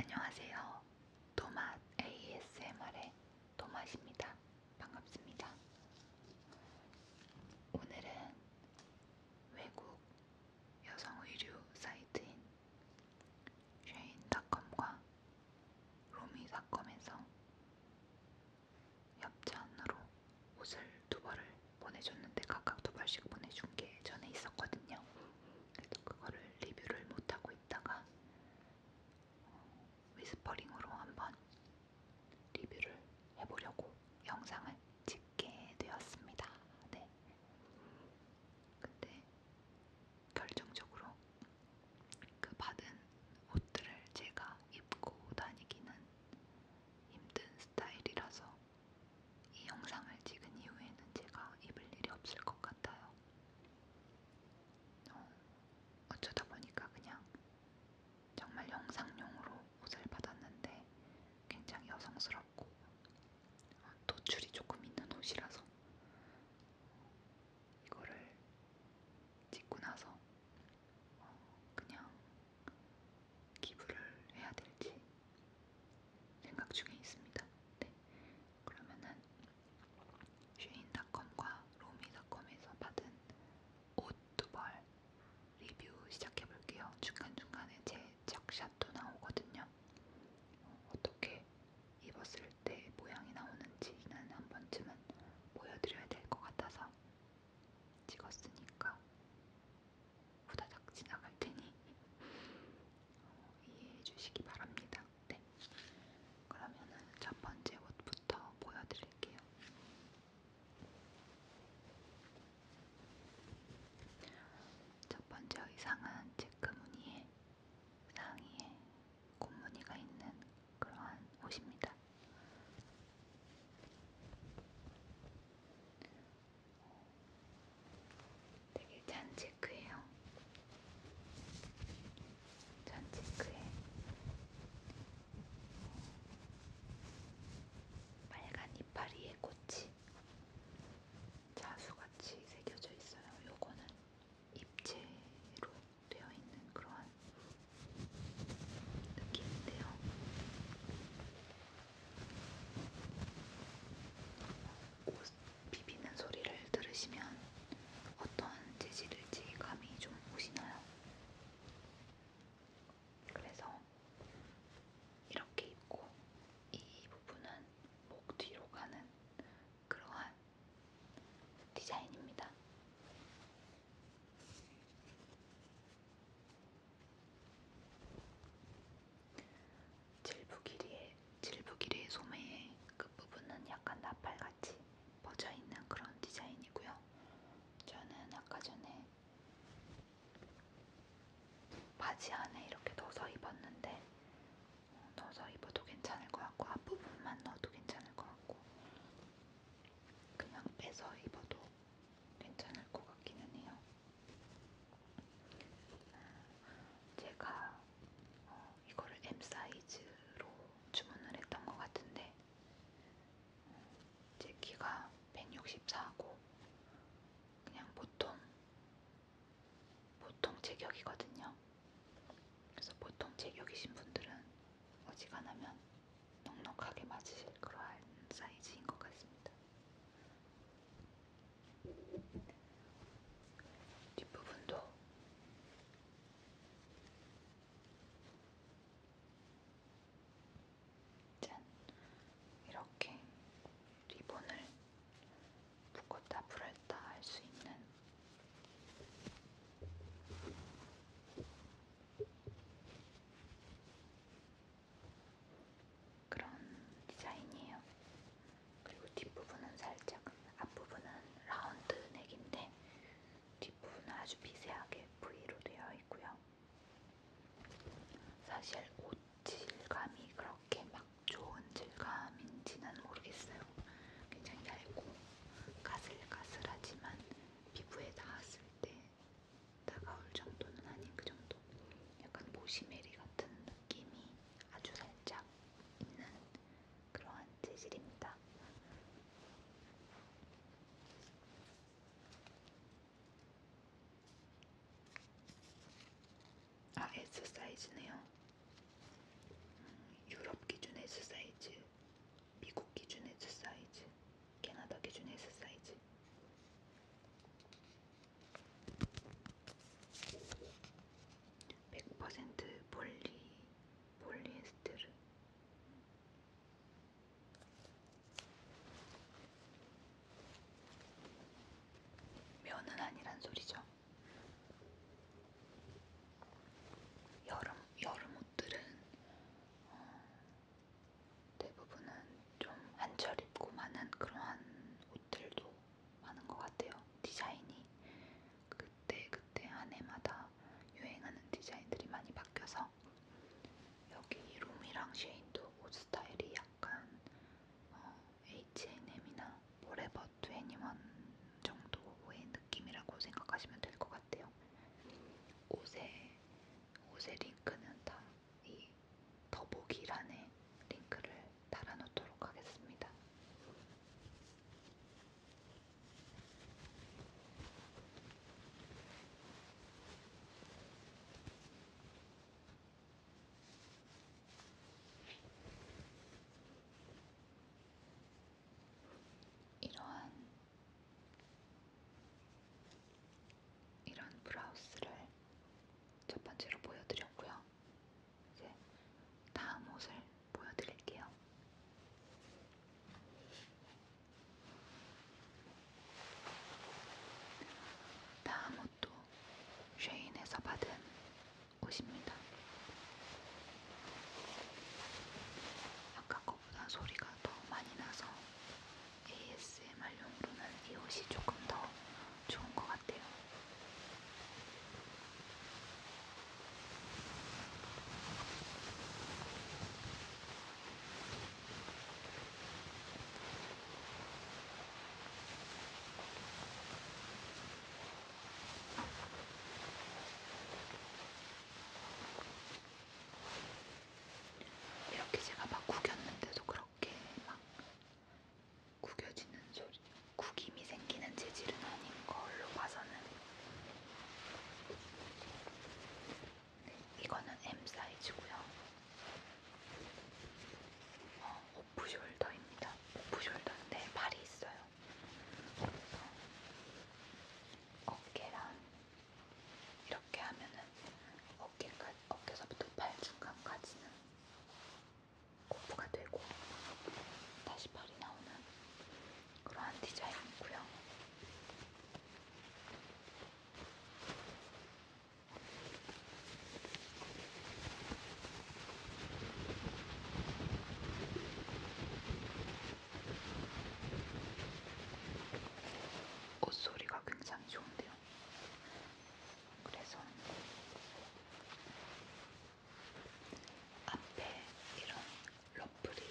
안녕하세요. 도맛 ASMR의 도맛입니다. 반갑습니다. 오늘은 외국 여성 의류 사이트인 쉐인닷컴과 로미닷컴에서 협찬으로 옷을 두 벌을 보내줬는데 각각 두 벌씩 보내준 게 전에 있었거든요. 그래서 그거를 리뷰를 못하고 있다가 어, 위스퍼링으로 한번 리뷰를 해보려고 영상을 찍게 되었습니다. 네. 근데 결정적으로 그 받은 옷들을 제가 입고 다니기는 힘든 스타일이라서 이 영상을 찍은 이후에는 제가 입을 일이 없을 것 같아요. 어, 어쩌다 보니까 그냥 정말 영상용으로 옷을 받았는데 굉장히 여성스럽고 어, 노출이 조금 있는 옷이라서 이거를 찍고 나서 그냥 기부를 해야 될지 생각 중에 있습니다. 네. 그러면은 쉐인닷컴과 로미닷컴에서 받은 옷 두 벌 리뷰 시작해볼게요. 중간중간에 제 착샷도 나오거든요. 어, 어떻게 입었을 때 모양이 나오는지는 한 번쯤은 보여드려야 될 것 같아서 찍었으니까 후다닥 지나갈 테니 어, 이해해 주시기 바랍니다. 네. 그러면은 첫 번째 옷부터 보여드릴게요. 첫 번째 의상은 체크무늬에 상의에 꽃무늬가 있는 그러한 옷입니다. 되게 잔체크예요. 잔체크에 빨간 이파리의 꽃이 자수같이 새겨져 있어요. 요거는 입체로 되어 있는 그러한 느낌인데요. 옷 비비는 소리를 들으시면 어떤 재질일지 감이 좀 오시나요? 그래서 이렇게 입고 이 부분은 목 뒤로 가는 그러한 디자인입니다. 질부 길이의 질부 길이의 소매의 끝부분은 약간 나팔같이 퍼져 있는 그런 디자인이고요. 저는 아까 전에 바지 안에 이렇게 넣어서 입었는데 어, 넣어서 입어도 괜찮을 것 같고 앞부분만 넣어도 괜찮을 것 같고 그냥 빼서 입어도 괜찮을 것 같기는 해요. 제가 어, 이거를 M 사이즈로 주문을 했던 것 같은데 어, 제 키가 164고 그냥 보통 보통 체격이거든요. 그래서 보통 체격이신 분들은 어지간하면 넉넉하게 맞으실 그러한 사이즈인 것 같습니다. 뒷부분도 짠! 이렇게 리본을 묶었다 풀었다 할 수 있는 그런 디자인이에요. 그리고 뒷부분은 살짝, 앞부분은 라운드 넥인데 뒷부분은 아주 미세하게 V로 되어 있고요. 사실 옷 질감이 그렇게 막 좋은 질감인지는 모르겠어요. 굉장히 얇고 가슬가슬하지만 피부에 닿았을 때 다가올 정도는 아닌 그 정도 약간 모시메리 같은 느낌이 아주 살짝 있는 그러한 재질입니다. 아, S 사이즈네요. 음, 유럽 기준 S 사이즈 미국 기준 S 사이즈, 캐나다 기준 S 사이즈. 백퍼센트 폴리 폴리에스테르 면은 아니란 소리죠. 여름 여름 옷들은 대부분은 좀 한철 입고 많은 그러한 옷들도 많은 것 같아요. 디자인이 그때 그때 한 해마다 유행하는 디자인들이 많이 바뀌어서 여기 롬이랑 쉐인도 옷 스타일이 약간 어, H&M이나 포레버 21 정도의 느낌이라고 생각하시면 될 것 같아요. 옷에 옷의 링크는 다 이 더보기란에 링크를 달아놓도록 하겠습니다. 이러한 이런 브라우스를 첫 번째로 보여드렸고요. 이제 다음 옷을 보여드릴게요. 다음 옷도 쉐인에서 받은 옷입니다. 아까 거보다 소리가 더 많이 나서 ASMR용으로는 이 옷이 조금 더 좋은 것 같아요. 이렇게 제가 막 구겼는데도 그렇게 막 구겨지는 소리, 구김이 생기는 재질은 아닌 걸로 봐서는 네, 이거는 M 사이즈고요. 어, 오프숄더입니다. 오프숄더인데 발이 있어요. 어깨랑 이렇게 하면은 어깨까 어깨서부터 팔 중간까지는 고프가 되고 다시 팔이 나오는 그러한 디자인이고요. 옷소리가 굉장히 좋은데요. 그래서 앞에 이런 러플이,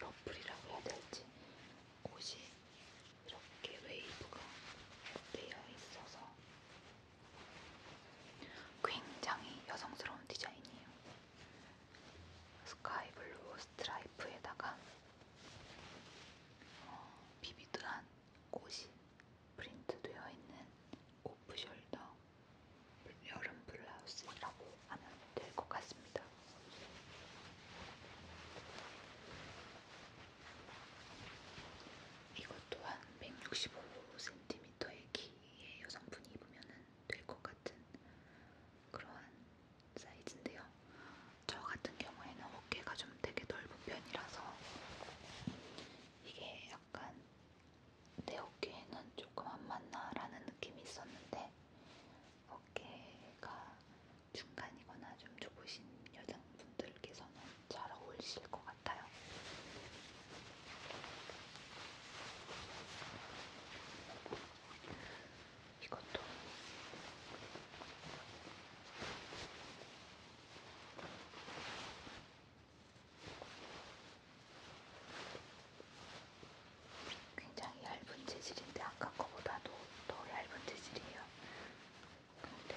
러플이라고 해야 될지 옷이 이렇게 웨이브가 되어 있어서 굉장히 여성스러운 디자인이에요. 스카이블루 스트라이프에다가 어, 비비드한 꽃이 프린트되어 있는 오프숄더 여름 블라우스라고 하면 될 것 같습니다. 이것 또한 165cm의 키의 여성분이 입으면 될 것 같은 그런 사이즈인데요. 저 같은 경우에는 어깨가 좀 되게 넓은 편이라서 이게 약간 내 어깨에는 조금 안 맞나라는 느낌이 있었는데 어깨가 중간이거나 좀 좁으신 여성분들께서는 잘 어울리실 것 같아요. 이것도 굉장히 얇은 재질인데 아까 거보다도 더 얇은 재질이에요. 근데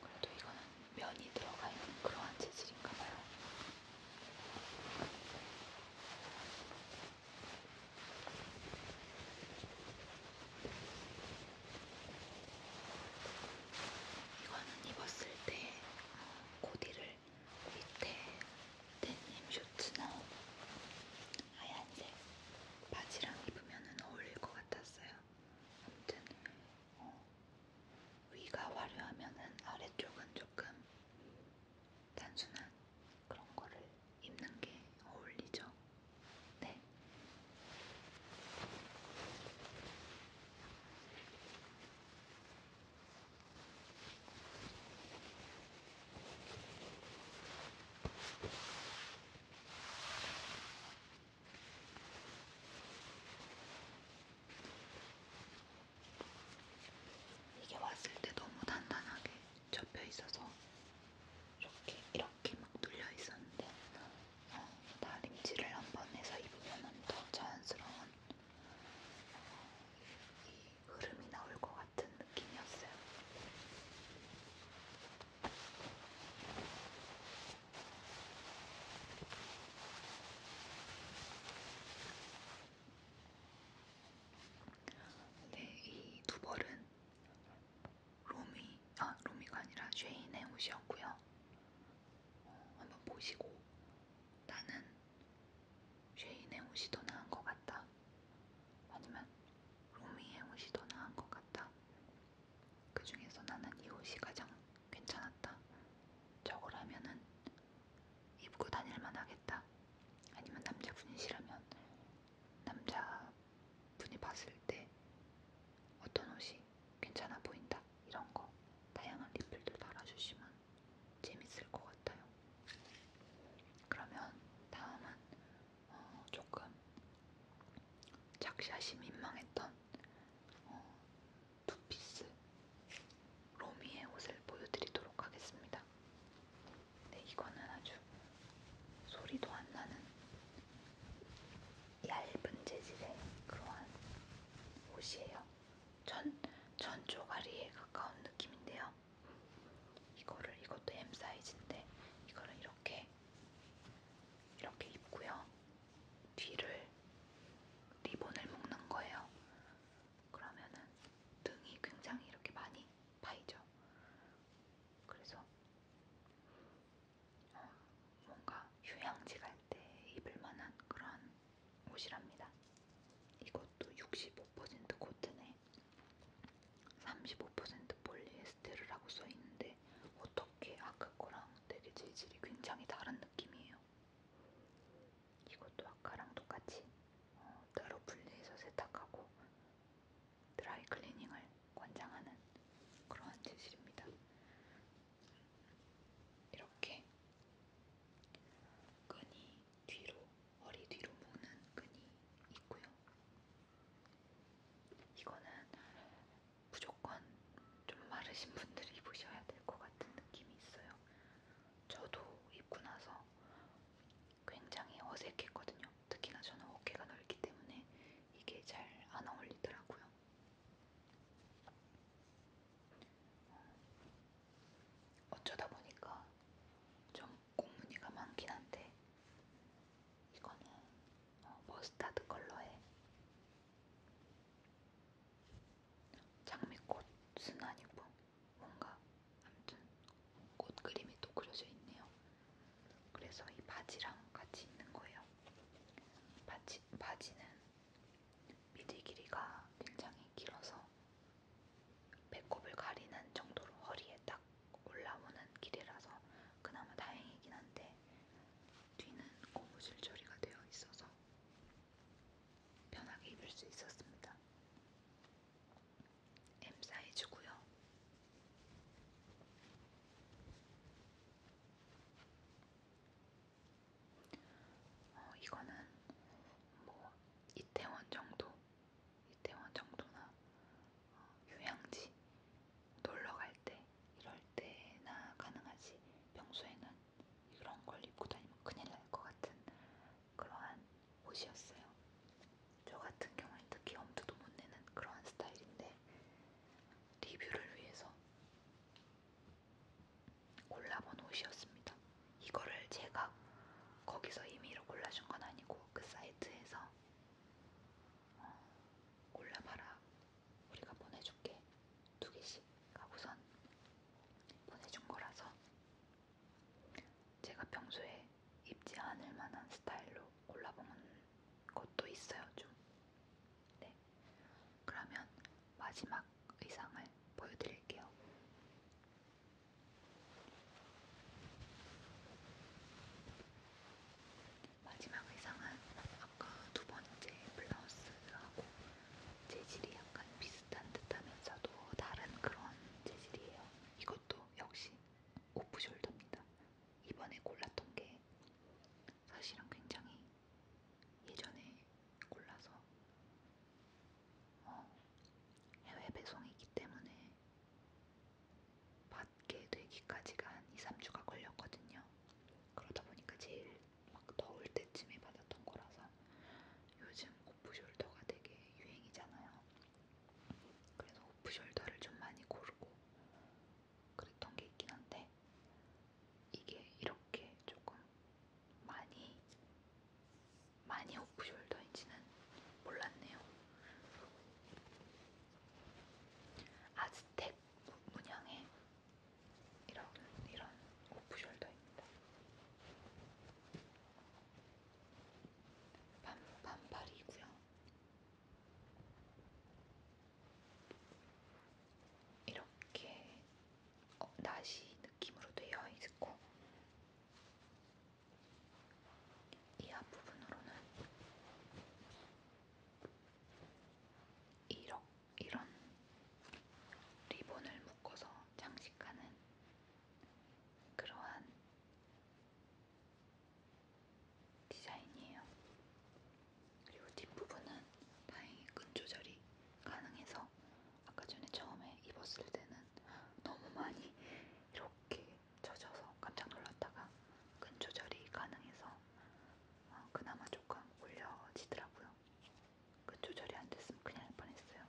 그래도 이거는 면이 들어가 있는 그러한 재질인가봐요. 이거는 입었을 때 어, 코디를 밑에 데님 셔츠나 하얀색 바지랑 입으면 어울릴 것 같았어요. 아무튼 어, 위가 화려하면은 아래쪽은 조금 단순한 그런 거를 입는 게 어울리죠. 네. 이게 왔을 때 너무 단단하게 접혀 있어서 이렇게 이렇게 막 눌려 있었는데 어, 다림질을 한번 해서 입으면 더 자연스러운 어, 이 흐름이 나올 것 같아요. 같은 느낌이었어요. 네, 이 두 벌은 로미, 아 로미가 아니라 쉐인의 옷이었고요. 어, 한번 보시고 나는 쉐인의 옷이 더 나은 것 같다 같다. 하지만 로미의 옷이 더 나은 것 같다. 그 중에서 나는 이 옷이 가장 괜찮았다. 저걸 하면은 입고 다닐만 하겠다. 아니면 남자분이시라면 남자분이 봤을 때 어떤 옷이 괜찮아 보인다. 이런 거 다양한 리플들 달아주시면 재밌을 것 같아요. 그러면 다음은 어, 조금 작샷이 민망했던 어, 투피스 로미의 옷을 보여드리도록 하겠습니다. 네, 이거는 아주 소리도 안 나는 얇은 재질의 그러한 옷이에요. 천, 천 조가리에 가까운 느낌인데요. 이거를 이것도 M 사이즈인데 이거를 이렇게 이렇게 입고요. 뒤를 리본을 묶는 거예요. 그러면은 등이 굉장히 이렇게 많이 파이죠. 그래서 어, 뭔가 휴양지 갈 때 입을 만한 그런 옷이랍니다. 이것도 65% 코튼에 35% 폴리에스테르라고 써있는데 어떻게 아까 거랑 되게 재질이 굉장히 다른 느낌이에요. 이것도 아까랑 똑같이 어, 따로 분리해서 세탁하고 드라이 클리닝을 권장하는 그러한 재질입니다. 이렇게 끈이 뒤로, 허리 뒤로 묶는 끈이 있고요. 이거는 무조건 좀 마르신 분들이 입으셔야 될 것 같은 느낌이 있어요. 저도 입고 나서 굉장히 어색했거든요. 특히나 저는 어깨가 넓기 때문에 이게 잘 안 어울리더라고요. 어, 어쩌다 보니까 좀 꽃무늬가 많긴 한데 이거는 어, 머스타드 컬러에 장미꽃은 아니고 뭔가 아무튼 꽃 그림이 또 그려져 있네요. 그래서 이 바지랑 같이 있는 거예요. 바지, 바지는 미디 길이가 굉장히 길어서 배꼽을 가리는 정도로 허리에 딱 올라오는 길이라서 그나마 다행이긴 한데 뒤는 고무줄 처리가 되어 있어서 편하게 입을 수 있었습니다. M 사이즈고요. 어, 이거는 뭐 이태원 정도 이태원 정도나 어, 휴양지 놀러 갈 때 이럴 때나 가능하지 평소에는 이런 걸 입고 다니면 큰일 날 것 같은 그러한 옷이었어요. 저 같은 경우에는 특히 엄두도 못 내는 그러한 스타일인데 리뷰를 위해서 골라본 옷이었습니다. 이거를 제가 거기서 임의로 골라준 건 아니고 그 사이트에서 어, 골라봐라. 우리가 보내줄게. 두 개씩 하고선 보내준 거라서 제가 평소에 입지 않을 만한 스타일로 골라본 것도 있어요, 좀. 네. 그러면 마지막 의상을 보여드릴게요. 마지막 의상은 아까 두 번째 블라우스하고 재질이 약간 비슷한 듯하면서도 다른 그런 재질이에요. 이것도 역시 오프숄더입니다. 이번에 골랐던 게 사실은 굉장히 예전에 골라서 어, 해외 배송이기 때문에 갖게 되기까지가 한 2, 3주가 걸렸거든요. 그러다 보니까 제일 막 더울 때쯤에 받았던 거라서 요즘 오프숄더가 되게 유행이잖아요. 그래서 오프숄더를 좀 많이 고르고 그랬던 게 있긴 한데 이게 이렇게 조금 많이 많이 오프숄더인지는 몰랐네요. 아즈텍 문양의 이런 이런 오프숄더입니다. 반 반팔이고요. 이렇게 어, 나시 느낌으로 되어 있고 이 앞부분으로는 이런, 이런 리본을 묶어서 장식하는 그러한 디자인이에요. 그리고 뒷부분은 다행히 끈 조절이 가능해서 아까 전에 처음에 입었을 때는 너무 많이 이렇게 젖어서 깜짝 놀랐다가 근 조절이 가능해서 어, 그나마 조금 올려지더라고요. 근 그 조절이 안 됐으면 그냥 할 뻔했어요.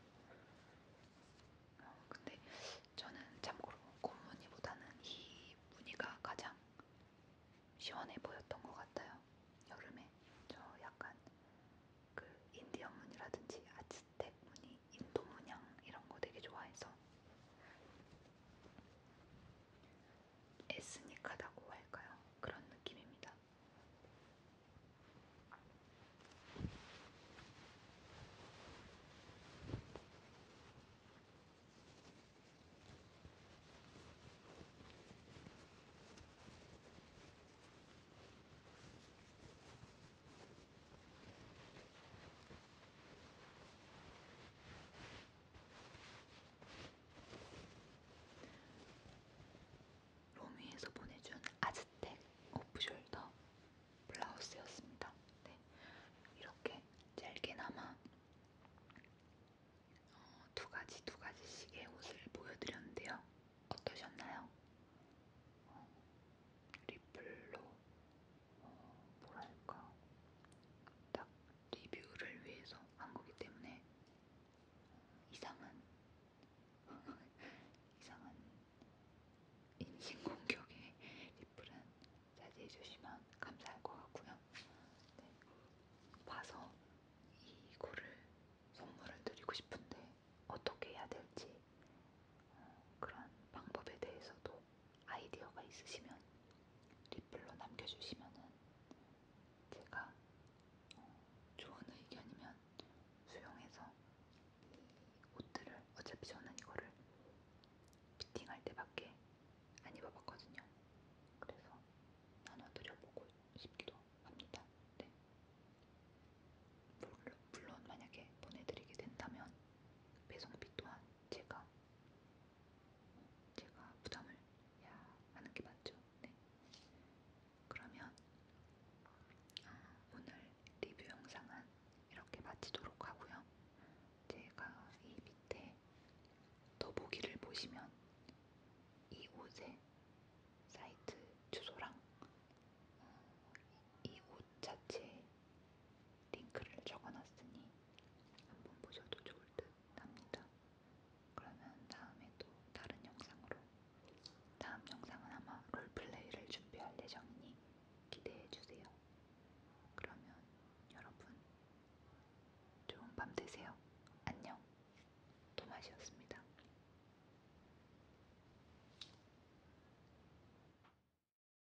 어, 근데 저는 참고로 곰무늬보다는 이 무늬가 가장 시원해 보였던 것 같아요. 여름에 저 약간 그 인디언 무늬라든지 아즈텍 무늬 이 인도 문양 이런 거 되게 좋아해서 에스닉하다고 할까요? 그런 느낌입니다. 로미에서 보내준 아즈텍 오프숄더 블라우스였습니다. 네, 이렇게 짧게나마 어, 두 가지 두 가지씩의 옷을 보여드렸는데요. 어떠셨나요? 어, 리플로 어, 뭐랄까 딱 리뷰를 위해서 한 거기 때문에 어, 이상한 이상한 인신공격에 리플은 자제해 주시면 감사할 것 같고요. 네. 봐서 이거를 선물을 드리고 싶은데 어떻게 해야 될지 어, 그런 방법에 대해서도 아이디어가 있으시면 리플로 남겨주시면은 제가 어, 좋은 의견이면 수용해서 이 옷들을 어차피 저는 이거를 피팅할 때밖에 안 입어봤거든요. 그래서 나눠드려보고 싶기도 합니다. 네. 물론, 물론 만약에 보내드리게 된다면 배송비 또한 제가 제가 부담을 해야 하는 게 맞죠? 네. 그러면 아, 오늘 리뷰 영상은 이렇게 마치도록 하고요. 제가 이 밑에 더보기를 보시면 이 옷의 사이트 주소랑 어, 이옷 자체 링크를 적어놨으니 한번 보셔도 좋을 듯 합니다. 그러면 다음에 또 다른 영상으로 다음 영상은 아마 롤플레이를 준비할 예정이니 기대해주세요. 그러면 여러분 좋은 밤 되세요. 안녕. 도마시였습니다.